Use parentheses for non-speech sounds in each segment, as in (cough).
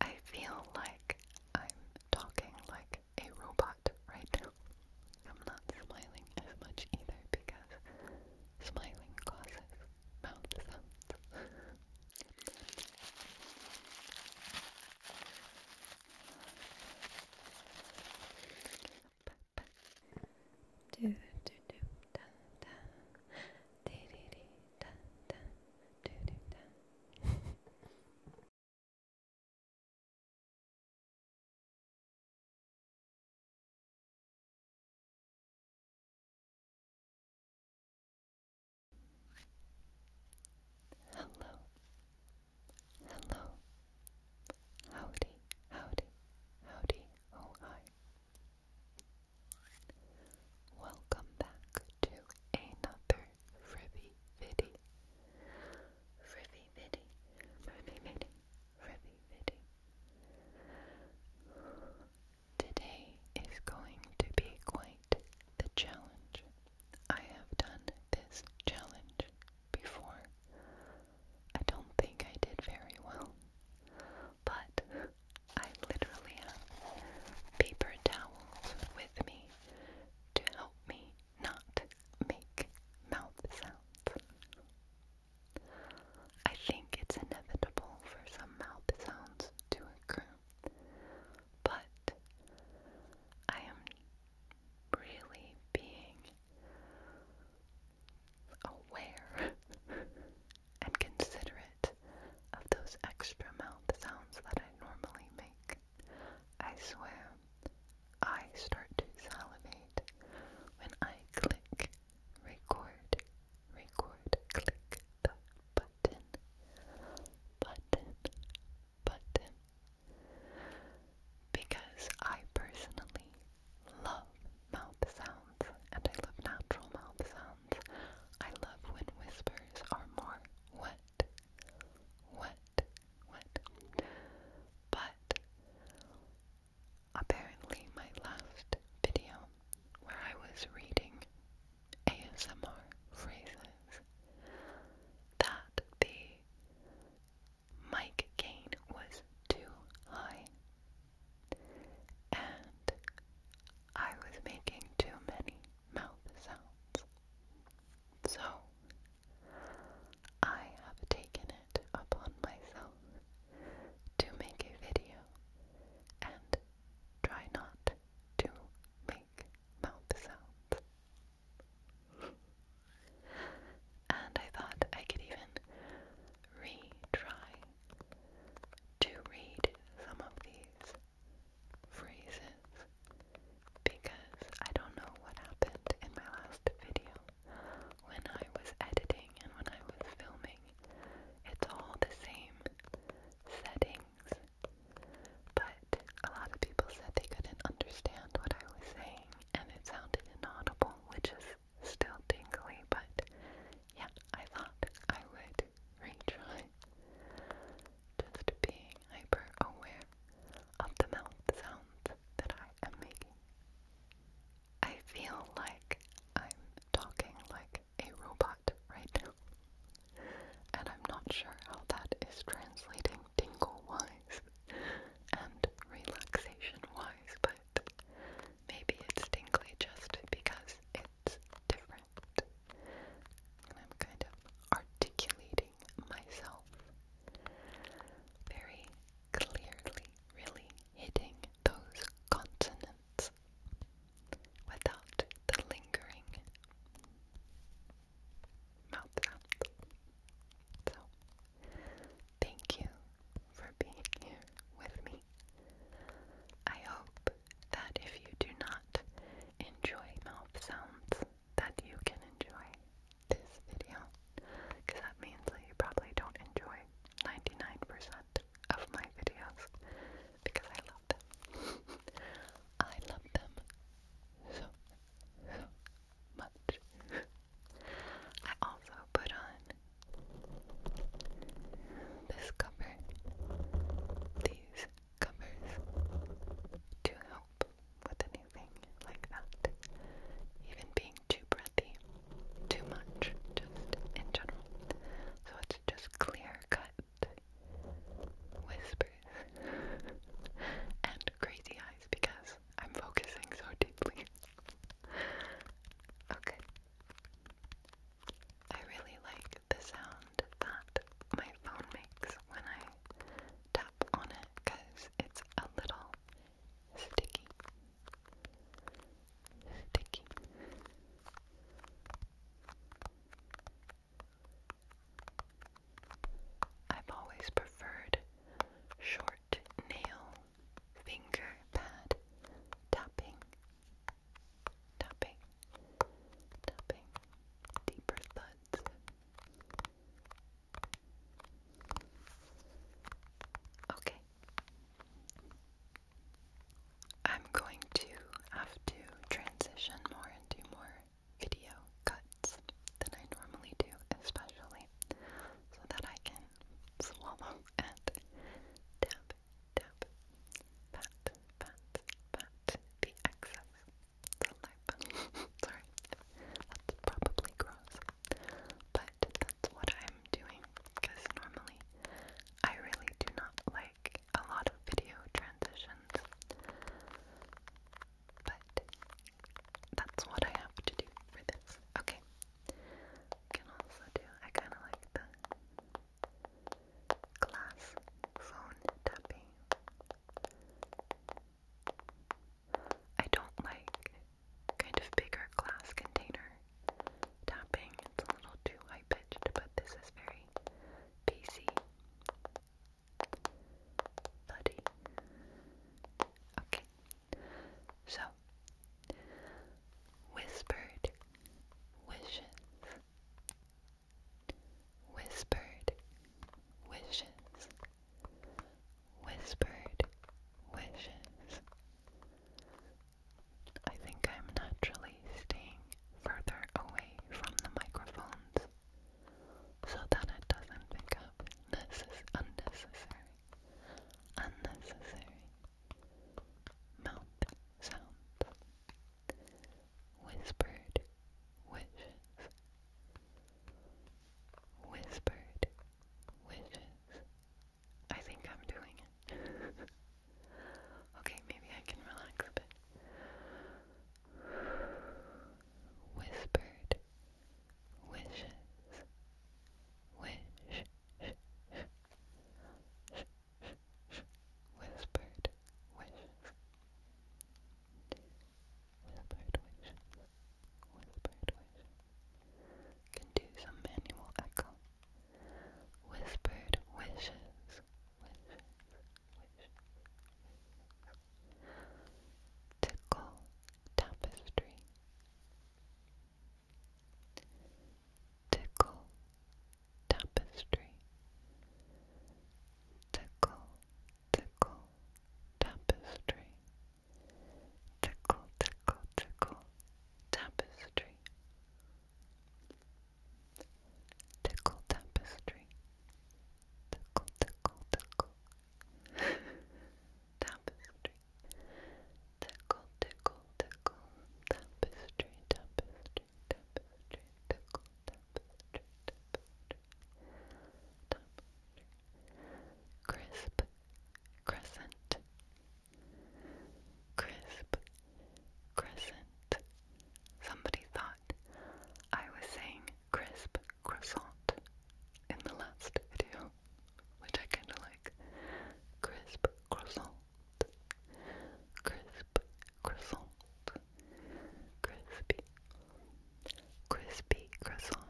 I feel like I'm talking like a robot right now. I'm not smiling as much either because smiling causes mouth sounds. Do do do da da Hello, hello, howdy, howdy, howdy, oh hi. Welcome back to another Frivy Viddy. Frivy Viddy. Frivy Viddy. Frivy Viddy. Today is going to be quite the challenge. I have done this challenge before. I don't think I did very well, but I literally have paper towels with me to help me not make mouth sounds. I think it's inevitable for some mouth sounds to occur, but I am really being aware (laughs) and considerate of those extra mouth sounds that I normally make. I swear, I start to salivate when I click record, record, click the button, button, button. Because I personally love mouth sounds and I love natural mouth sounds. I love when whispers are more wet, wet, wet. But apparently, my last video where I was reading ASMR phrases, that the mic gain was too high. And I was making too many mouth sounds. So, I have taken it upon myself to make a video and try not to make mouth sounds. and I thought I could even retry to read some of these phrases because I don't know what happened in my last video when I was editing and when I was filming. It's all the same settings, but a lot of people said they couldn't understand what I was saying and it sounded inaudible, which is still tingly, but yeah, I thought I would retry just being hyper aware of the mouth sounds that I am making. I feel like I'm talking like a robot right now, and I'm not sure how that is translating tingle wise and relaxation wise, but maybe it's tingly just because it's different. I'm kind of articulating myself very clearly, really hitting those consonants without the lingering mouth sound. So, thank you for being here with me. I hope that if you do not enjoy mouth sounds, that you can enjoy this video. Because that means that you probably don't enjoy 99% of my videos. Because I love them. (laughs) I love them so, much. I also put on this cover, these covers to help with anything like that. Even being too breathy, too much, just in general. So it's just clear cut whispers (laughs) and crazy eyes because I'm focusing so deeply. okay. I really like the sound that my phone makes when I tap on it because it's a little sticky. Sticky. I've always preferred short nail finger pad tapping tapping, tapping, deeper thuds. Okay. I'm going to have to transition more into more video cuts than I normally do, especially so that I can swallow and tap, tap, pat, pat, pat the excess saliva. (laughs) Sorry, that's probably gross, but that's what I'm doing because normally I really do not like a lot of video transitions, but that's what I have to do for this. Okay. can also do, I kind of like the glass phone tapping. I don't like kind of bigger glass container tapping. It's a little too high pitched, but this is very PC. Bloody. Okay. So whispered wishes Whispered wishes. Whispered wishes. I think I'm naturally staying further away from the microphones so that it doesn't pick up. unnecessary. Unnecessary mouth sounds. Whispered wishes. Whispered wishes. I think I'm doing it. (laughs) okay, maybe I can relax a bit. Whispered wishes. Wish. Whispered wishes. Whispered wishes. Whispered wishes. Can do some manual echo. Whispered wishes. Wishes. Wishes. Tickle tapestry tickle tapestry tickle tickle tapestry tickle tickle tickle tapestry tickle tapestry tickle tickle tickle (laughs) tapestry tickle tickle tickle tapestry tapestry crisp, crescent, crisp, crescent. Somebody thought I was saying crisp croissant in the last video, which I kinda like. Crisp croissant crisp, croissant, crispy, crispy croissant,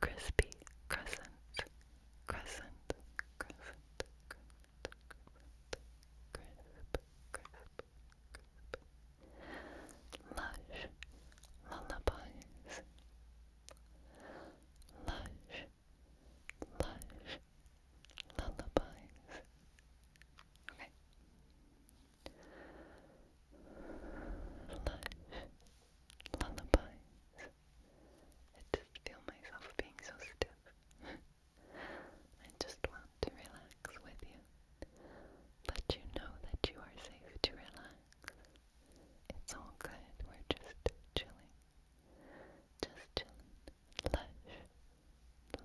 crispy crescent, crescent, crescent, crescent, crescent, crisp, crisp, crisp, lush, lullabies, lush, lush Okay. Lush I just feel myself being so stiff. (laughs) I just want to relax with you. Let you know that you are safe to relax. It's all good. We're just chilling. Just lush lullabies.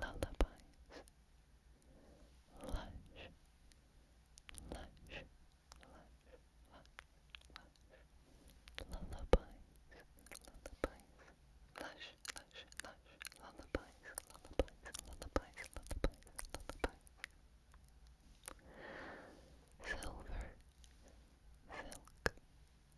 Lush, lush, lush, lush, lush. Lullabies, lullabies. Lush, lush, lush, lullabies, lullabies, lullabies, lullabies, lullabies. Silver, silk.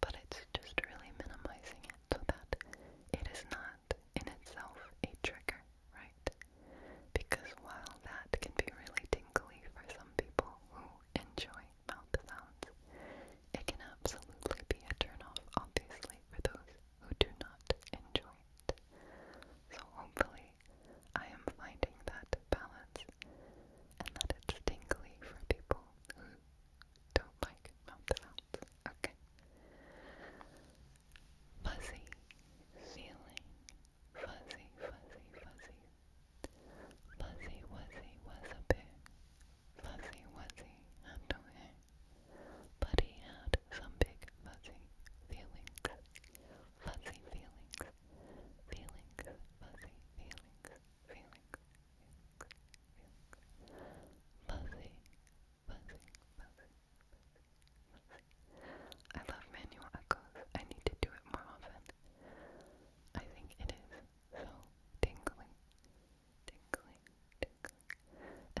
but it's just really minimizing it so that it is not in itself a trigger, right? Because while that can be really tingly for some people who enjoy mouth sounds, it can absolutely be a turnoff, obviously, for those who do not enjoy it. So hopefully, I am finding that balance and that it's tingly for people who don't like melted out. Okay. Fuzzy feeling. Fuzzy, fuzzy, fuzzy. Fuzzy Wuzzy was a bear. Fuzzy Wuzzy had no hair. But he had some big fuzzy feelings. Fuzzy feelings. Feelings. Fuzzy feelings feeling good, feeling good, fuzzy, I love manual echoes. I need to do it more often. I think it is so tingling, tingling,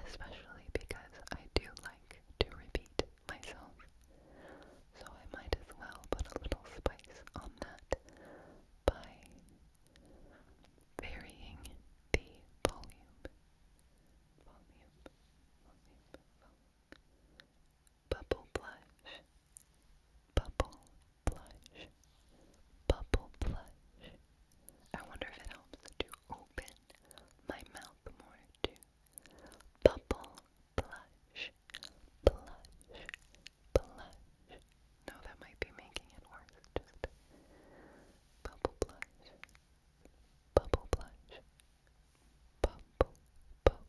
especially because I do like to repeat myself. So I might as well put a little spice on that by varying the volume, volume, volume, Bubble blush, bubble blush, bubble blush. I wonder if it helps to open my mouth more too. Bubble blush, blush, blush. No, that might be making it worse. bubble blush, bubble blush, bubble, bubble,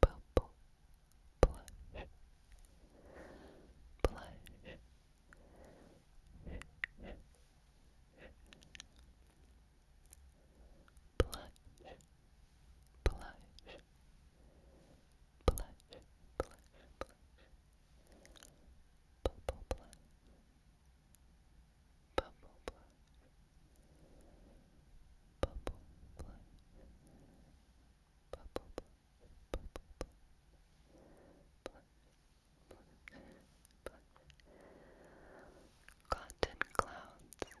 bubble, blush, blush. Blush, blush, blush, blush, blush, bubble blush, bubble blush, bubble blush, bubble blush, bubble blush, blush, blush, blush, cotton clouds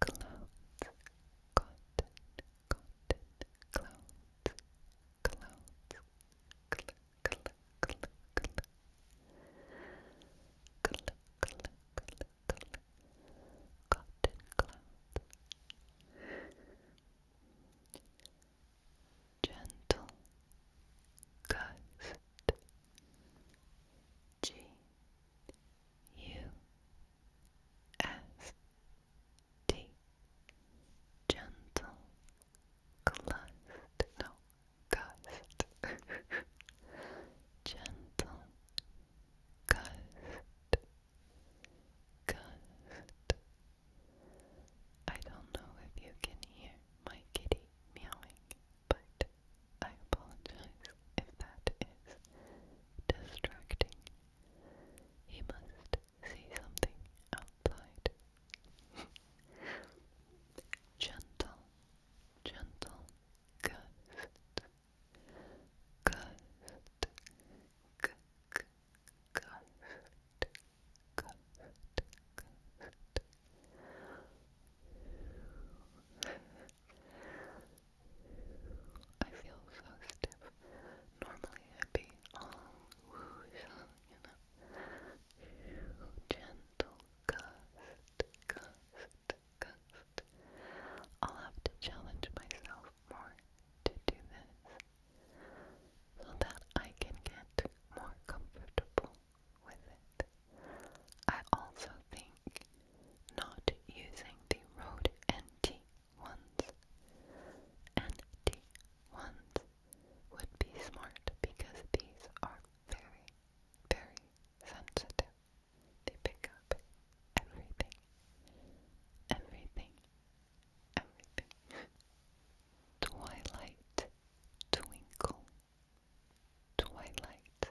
clouds, cotton, cotton, clouds, clouds, cl cl cl cl cl cl cl cl cotton clouds. Gentle gust, G U-S-T Gentle Gust No, gust (laughs) Gentle Gust Gust I don't know if you can hear my kitty meowing, but I apologize if that is distracting. He must see something outside. (laughs) gentle, gentle gust. Gust. G -g gust. Gust. I feel so stiff. Normally I'd be all whoosh, you know. Gentle gust, gust, gust. I'll have to challenge myself more to do this so that I can get more comfortable with it. I also think not using the road NT ones. NT ones would be smart because these are very, very sensitive. They pick up everything, everything, everything. Twilight, twinkle, twilight,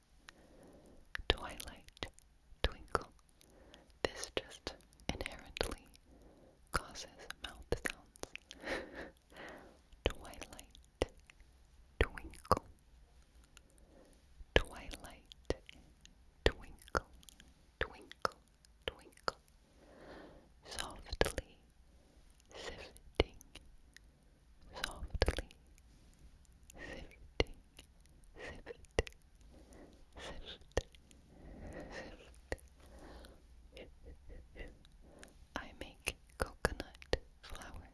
twilight, twinkle. This just inherently causes mouth sounds. (laughs) twilight, twinkle. Twilight, twinkle, twinkle, twinkle. Softly sifting, softly sifting, shift, shift, shift. I make coconut flour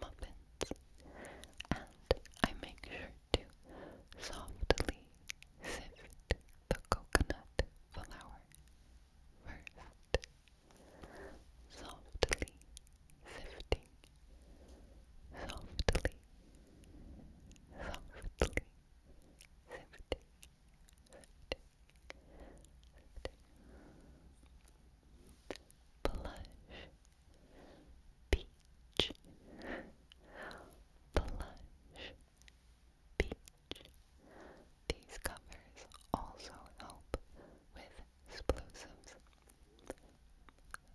muffins, and I make sure to softly sift the coconut flour first. Softly sifting softly, softly, sifting, sifting, peach, blush, peach. These covers also help with explosives,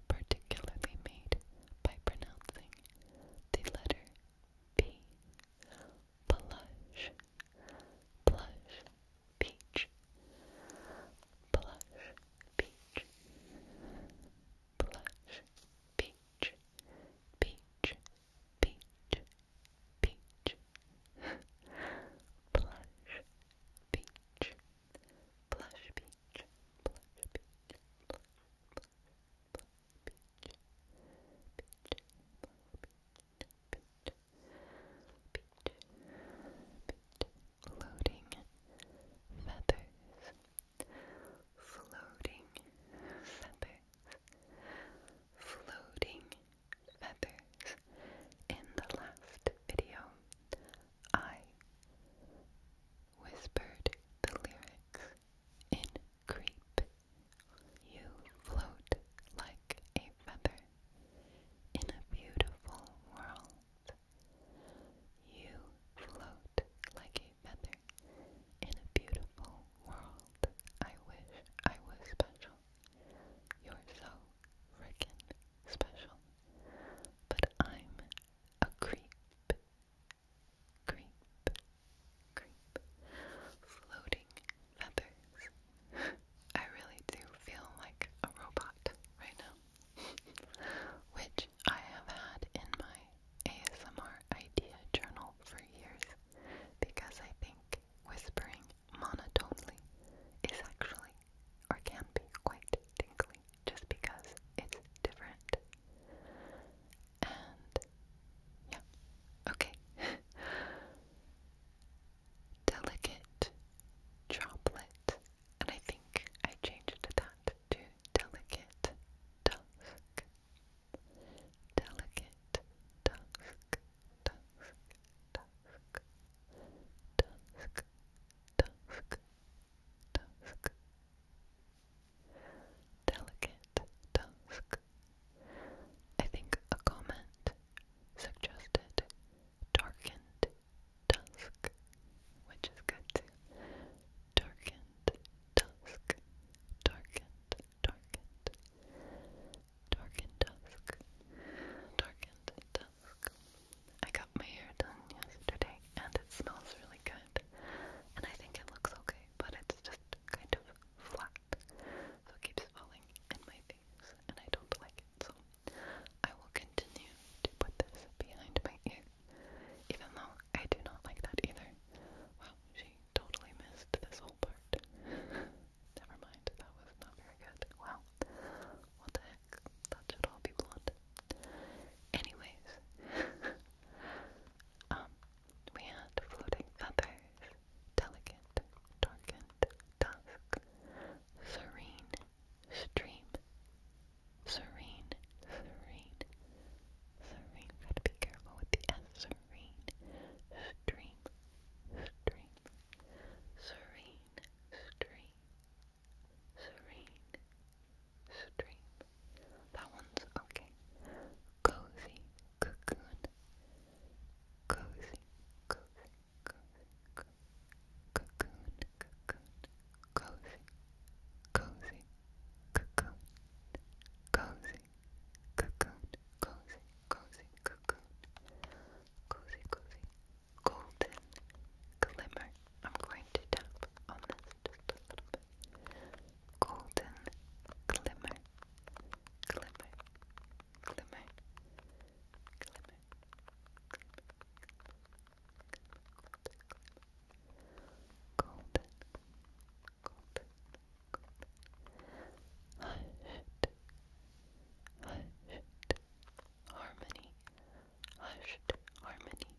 particularly made by pronouncing the letter P. Blush, blush, peach, blush, peach, blush, peach, peach, peach, peach, (laughs) peach. Blush peach, blush peach, blush, blush, blush peach, peach, blush floating feathers, floating feathers, floating feathers. In the last video, I whispered the lyrics in creep. You float like a feather in a beautiful world. You float like a feather in a beautiful world. I wish I was special. you freaking special. But I'm a creep, creep, creep. Floating feathers. I really do feel like a robot right now. Which I have had in my ASMR idea journal for years because I think whispering monotonely is actually or can be quite tingly just because it's different. And yeah, okay. (laughs) Delicate droplet, and I think I changed that to delicate dusk. Delicate dusk, dusk, dusk, dusk, dusk, dusk. Delicate dusk. I think a comment suggested darkened dusk, which is good Darkened dusk, darkened, darkened, darkened dusk, darkened dusk. I got my hair done yesterday and it smells really good. And I think it looks okay, but it's just kind of flat. So it keeps falling in my face and I don't like it. So I will continue to put this behind my ear. Even though I do not like that either. Wow, she totally missed this whole part. (laughs) Never mind, that was not very good. Wow. What the neck. That should all be blonde. Anyways, (laughs) um, we had floating feathers, delicate, darkened, dusk, serene, stream, serene, serene, serene. Gotta be careful with the S. Serene, stream, stream, serene, stream serene, stream. That one's okay. Cozy, cocoon. Cozy, cozy, cozy, cozy. Cocoon, cocoon. Cozy, cozy, cocoon. Cozy, cocoon. Cozy, cozy, cocoon. Cozy, cozy, golden glimmer. I'm going to tap on this little bit. Golden glimmer, glimmer, glimmer, glimmer, golden, golden, golden, golden. Hushed, hushed, harmony, hushed harmony,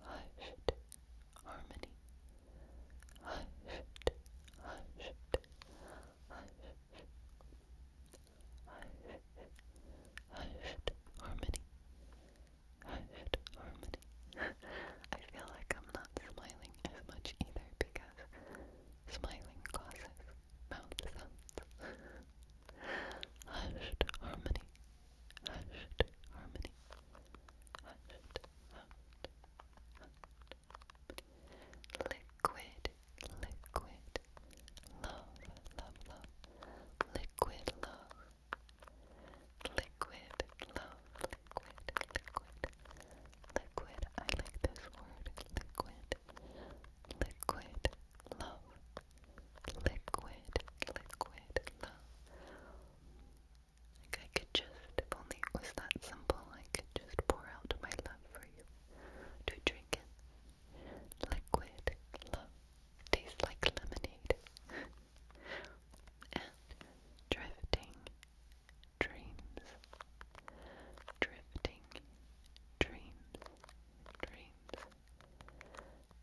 hushed harmony, hushed, hushed, hushed, hushed, hushed harmony, hushed (laughs) harmony. I feel like I'm not smiling as much either because smiling glasses, mouth hushed harmony, hushed harmony, hushed, hushed, hushed. Liquid, liquid, love, love, love, liquid love. Liquid love, liquid, liquid, liquid. I like this word, liquid liquid love, liquid, liquid love. Like I could just, if only it was that simple, I could just pour out my love for you to drink it. Liquid love tastes like lemonade. and drifting dreams, drifting dreams dreams,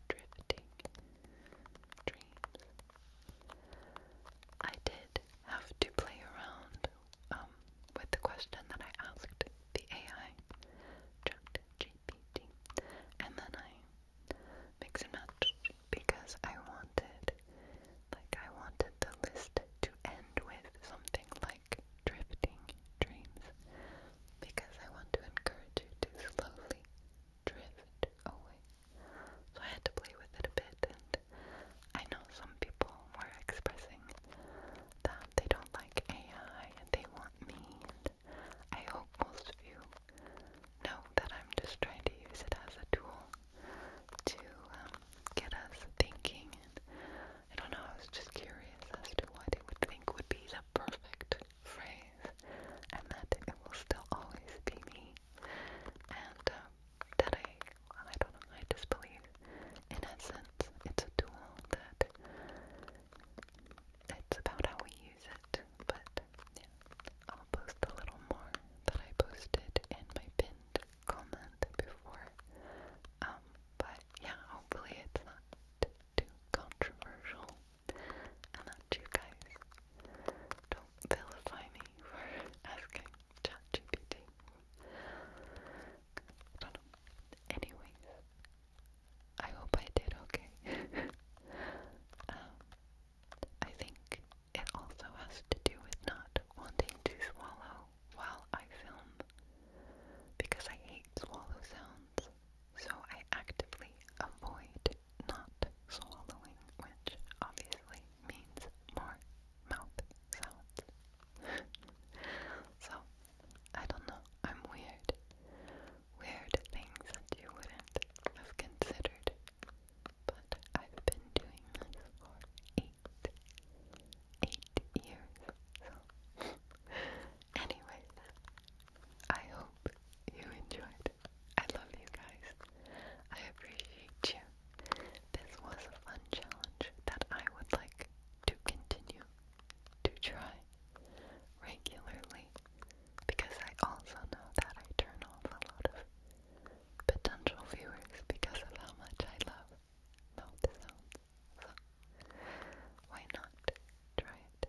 drifting dreams. I did have to play around um, with the question that I asked the AI, ChatGPT, and then I mix and match because I wanted, like, I wanted the list to end with something like drifting dreams because I want to encourage you to slowly drift away. So I had to play with it a bit, and I know some people were expressing that they don't like AI and they want me, and I hope most of you know that I'm just trying to use it as a tool to um, get us thinking and I don't know, I was just curious as to what it would think would be the perfect phrase, and that it will still always be me, and um, that I, I don't know, I just believe, in essence, it's a tool that it's about how we use it, but yeah, I'll post a little more that I posted in my pinned comment before, um, but yeah, hopefully it's not too controversial and that you guys don't vilify me for (laughs) asking ChatGPT. I don't know. Anyways, I hope I did okay. (laughs) um, I think it also has to do with not wanting to swallow while I film because I hate swallow sounds, so I actively avoid not swallowing, which obviously means more mouth sounds. (laughs) so, I don't know, I'm weird. Weird things that you wouldn't have considered. But I've been doing this for eight eight years. So, anyways, I hope you enjoyed. I love you guys. I appreciate you. This was a fun challenge that I would like to continue to try regularly because I also know that I turn off a lot of potential viewers because of how much I love mouth sounds, so why not try it?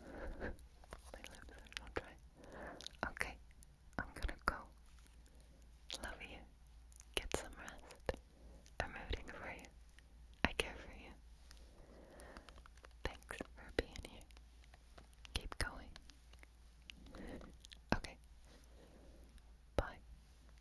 My lips are Okay, I'm gonna go. Love you. Get some rest. I'm rooting for you. I care for you. Thanks for being here. Keep going. Okay. Bye.